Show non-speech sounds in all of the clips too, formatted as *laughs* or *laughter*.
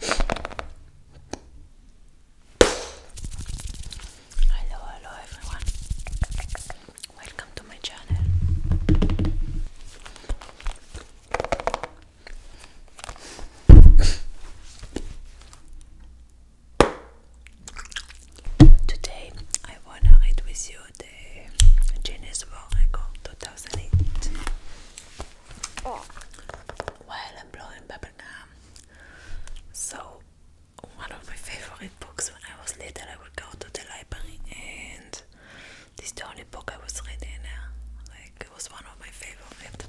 Hello, hello everyone. Welcome to my channel. Today I wanna read with you the Guinness World Record 2008 while I'm blowing bubblegum. So, one of my favorite books when I was little, I would go to the library, and this is the only book I was reading. Like, it was one of my favorite.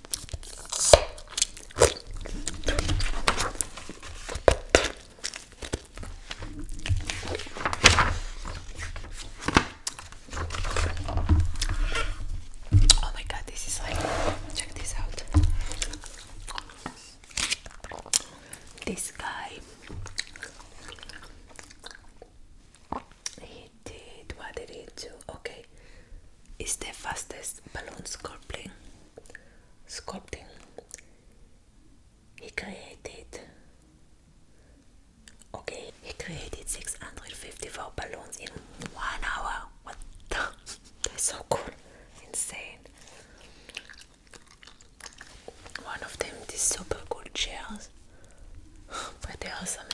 Oh my god, this is like check this out. This guy he did what did he do? Okay, is the fastest balloon sculpting. Sculpting. He created. Okay, he created 654 balloons in one hour. What the? *laughs* That's so cool. Insane. One of them, is super cool chairs. *laughs* But they are something.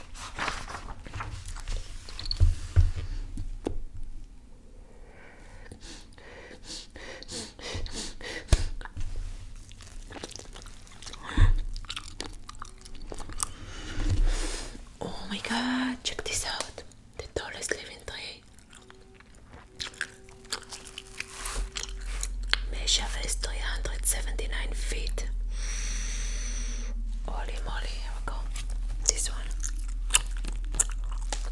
Oh my god, check this out. The tallest living tree. Measure is 379 feet. Holy moly here we go. This one,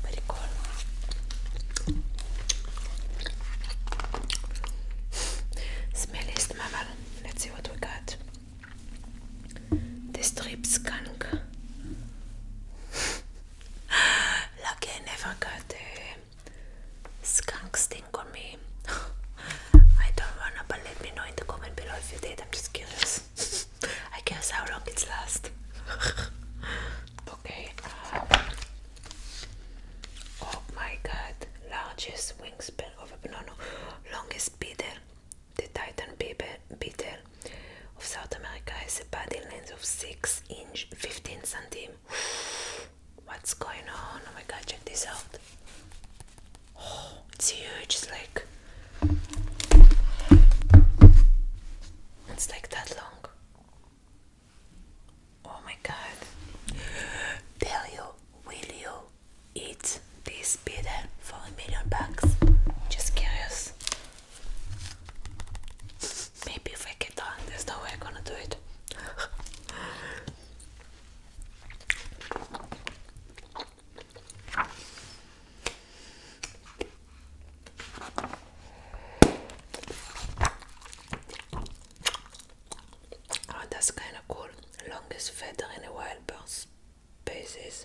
very cool. Smelliest mammal. Let's see what we got. The strip skunk. *gasps* Lucky I never got the skunk on me. *laughs* I don't wanna, but let me know in the comment below if you did. I'm just curious. *laughs* I guess how long it's last. *laughs* okay. Um, oh my god. Largest wingspan of a no, no. Longest beetle. The Titan beetle of South America has a body length of 6 inch 15 cm. *sighs* What's going on? Oh my god, check this out it's huge, it's like it's like that long. Oh my god. Tell you, will you eat this pizza for a million bucks? Just curious. Maybe if I get on, there's no way I'm gonna do it. *laughs* Oh, that's kind of cool. Longest feather in a wild bird. basis.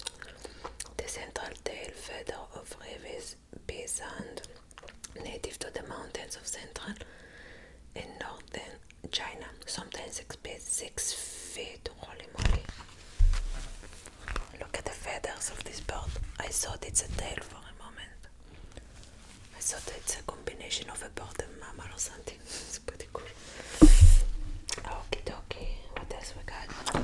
The central tail feather of Revis and native to the mountains of central and northern China, sometimes it's feet, six feet. Holy moly! Look at the feathers of this bird. I thought it's a tail for a moment. I thought it's a combination of a bird and mammal or something. *laughs* it's pretty cool. Okay, dokie. What else we got?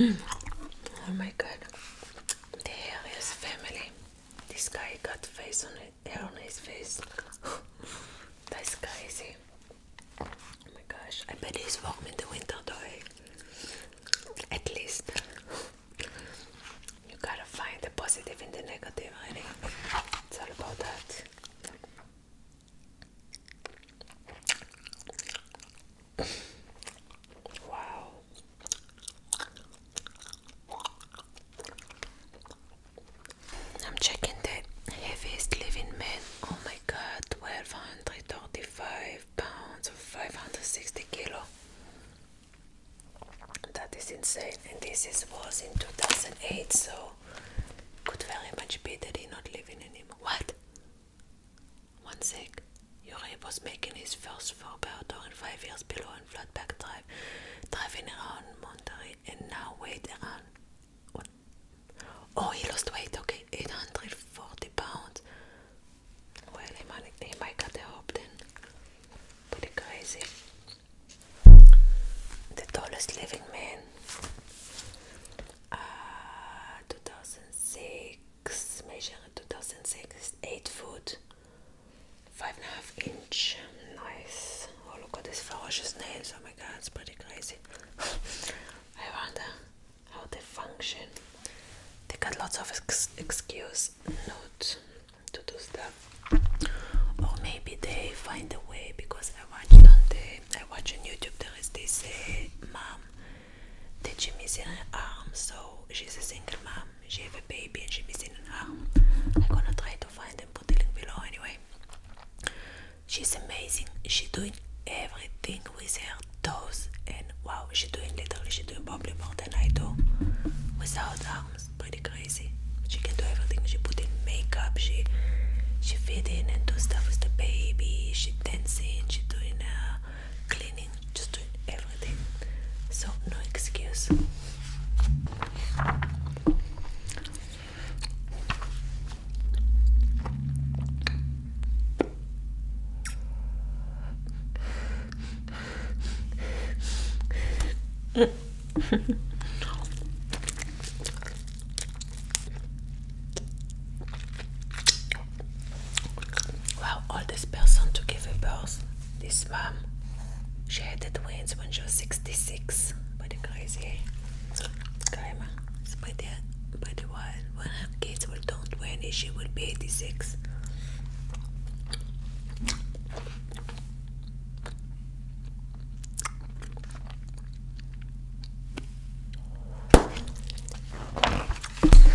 Oh my god, the hair is family. This guy got face on it hair on his face. *gasps* That's crazy. Oh my gosh, I bet he's warm in the winter though. At least. You gotta find the positive in the negative, I It's all about that. Wow. I'm checking the heaviest living man. Oh my god, 1235 pounds or 560 kilo. That is insane. And this is, was in 2008, so could very much be that he's not living anymore. What? One sec. Yuri was making his first for about in five years below on Drive, driving around Monterey, and now weight around. Oh, he lost weight, okay, 840 pounds. Well, he might, he might cut the hope then. Pretty crazy. The tallest living man. Uh, 2006, measured 2006, 8 foot five and a half inch. Nice. Oh, look at these ferocious nails. Oh my god, it's pretty crazy. *laughs* I wonder how they function. They got lots of excuse not to do stuff, or maybe they find a way because I watched on the I watch on YouTube. There is this uh, mom teaching me her arm, so she's a single mom she have a baby and she missing an arm. I'm gonna try to find and put the link below anyway. She's amazing. She's doing everything with her toes and wow, she's doing literally she's doing probably more than I do without arms. Pretty crazy. She can do everything. She put in makeup. She she fit in and do stuff with the baby. She dancing. She doing uh, cleaning, just doing everything. So, no excuse. *laughs* wow, all this person to give a birth this mom, she had the twins when she was 66. But crazy, grandma. By the, by the one, when her kids will turn 20, she will be 86.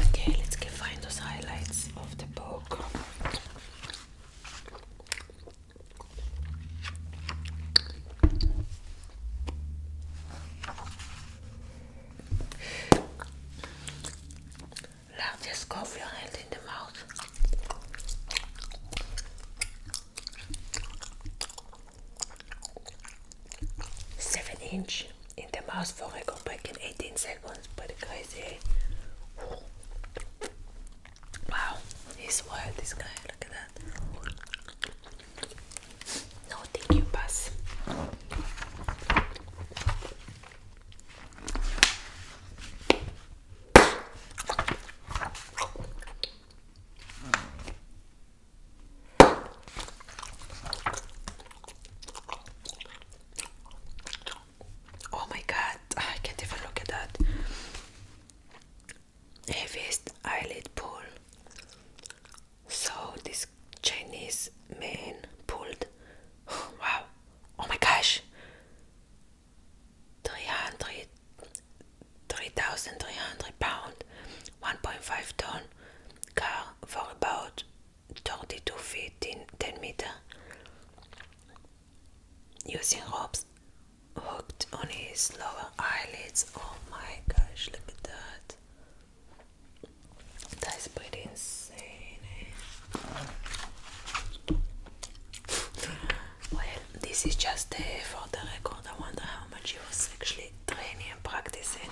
Okay, let's get find those highlights size of the book. Largest coffee in the mouth. Seven inch in the mouth I go back in 18 seconds. But crazy. Ooh. Eh, wow, he's wild, this guy. Look at that. No, thank you, pass. Oh my god, I can't even look at that. Heaviest eyelid pull. So this Chinese man pulled. *sighs* Wow. Oh my gosh. 300 3,300 pound 1.5 ton car for about Thirty-two feet in 10 meter using ropes hooked on his lower eyelids. Oh my gosh, look at that. That's pretty insane. Eh? Well, this is just eh, for the record. I wonder how much he was actually training and practicing.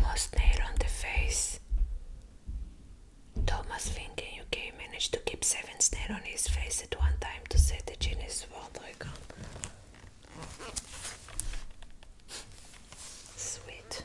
Most nail on the face. Thomas Fink in UK managed to keep seven snails on his face at one time to set the genius world Record. Sweet.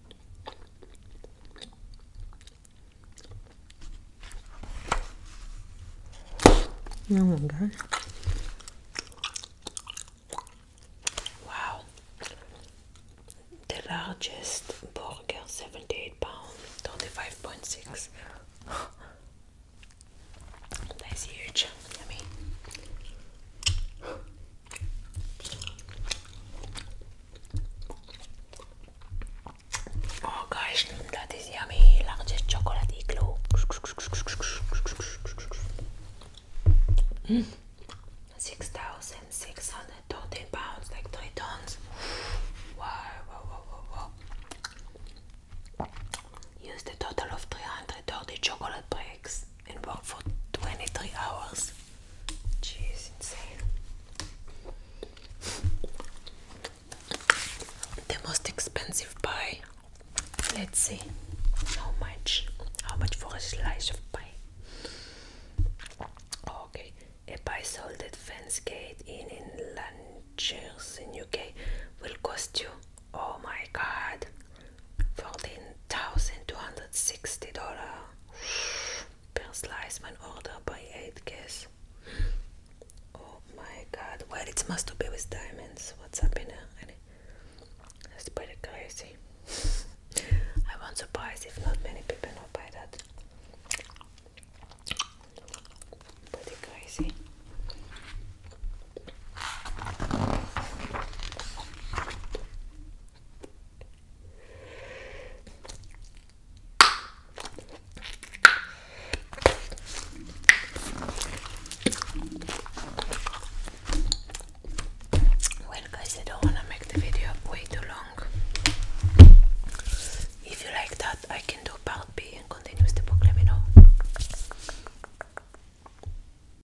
Oh my god. Wow. The largest burger, 78 pounds, 35.6. *gasps* That's huge. Oh gosh, that is yummy. Largest chocolate igloo. Mm. pounds, like 3 tons. Wow, wow, total of 330 chocolate bricks and worked for 23 hours. Jeez, insane. The most expensive pie. Let's see how much. How much for a slice of pie? Okay, a pie sold at Fensgate Inn in Lanchers in UK will cost you. Oh my God, $14,260 per slice My order by 8 guess. Oh my god. Well, it must to be with diamonds. What's happening? in That's pretty crazy. *laughs* I won't surprise if not many people know by that. Pretty crazy. Well, guys, I don't want to make the video way too long. If you like that, I can do part B and continue with the book. Let me know.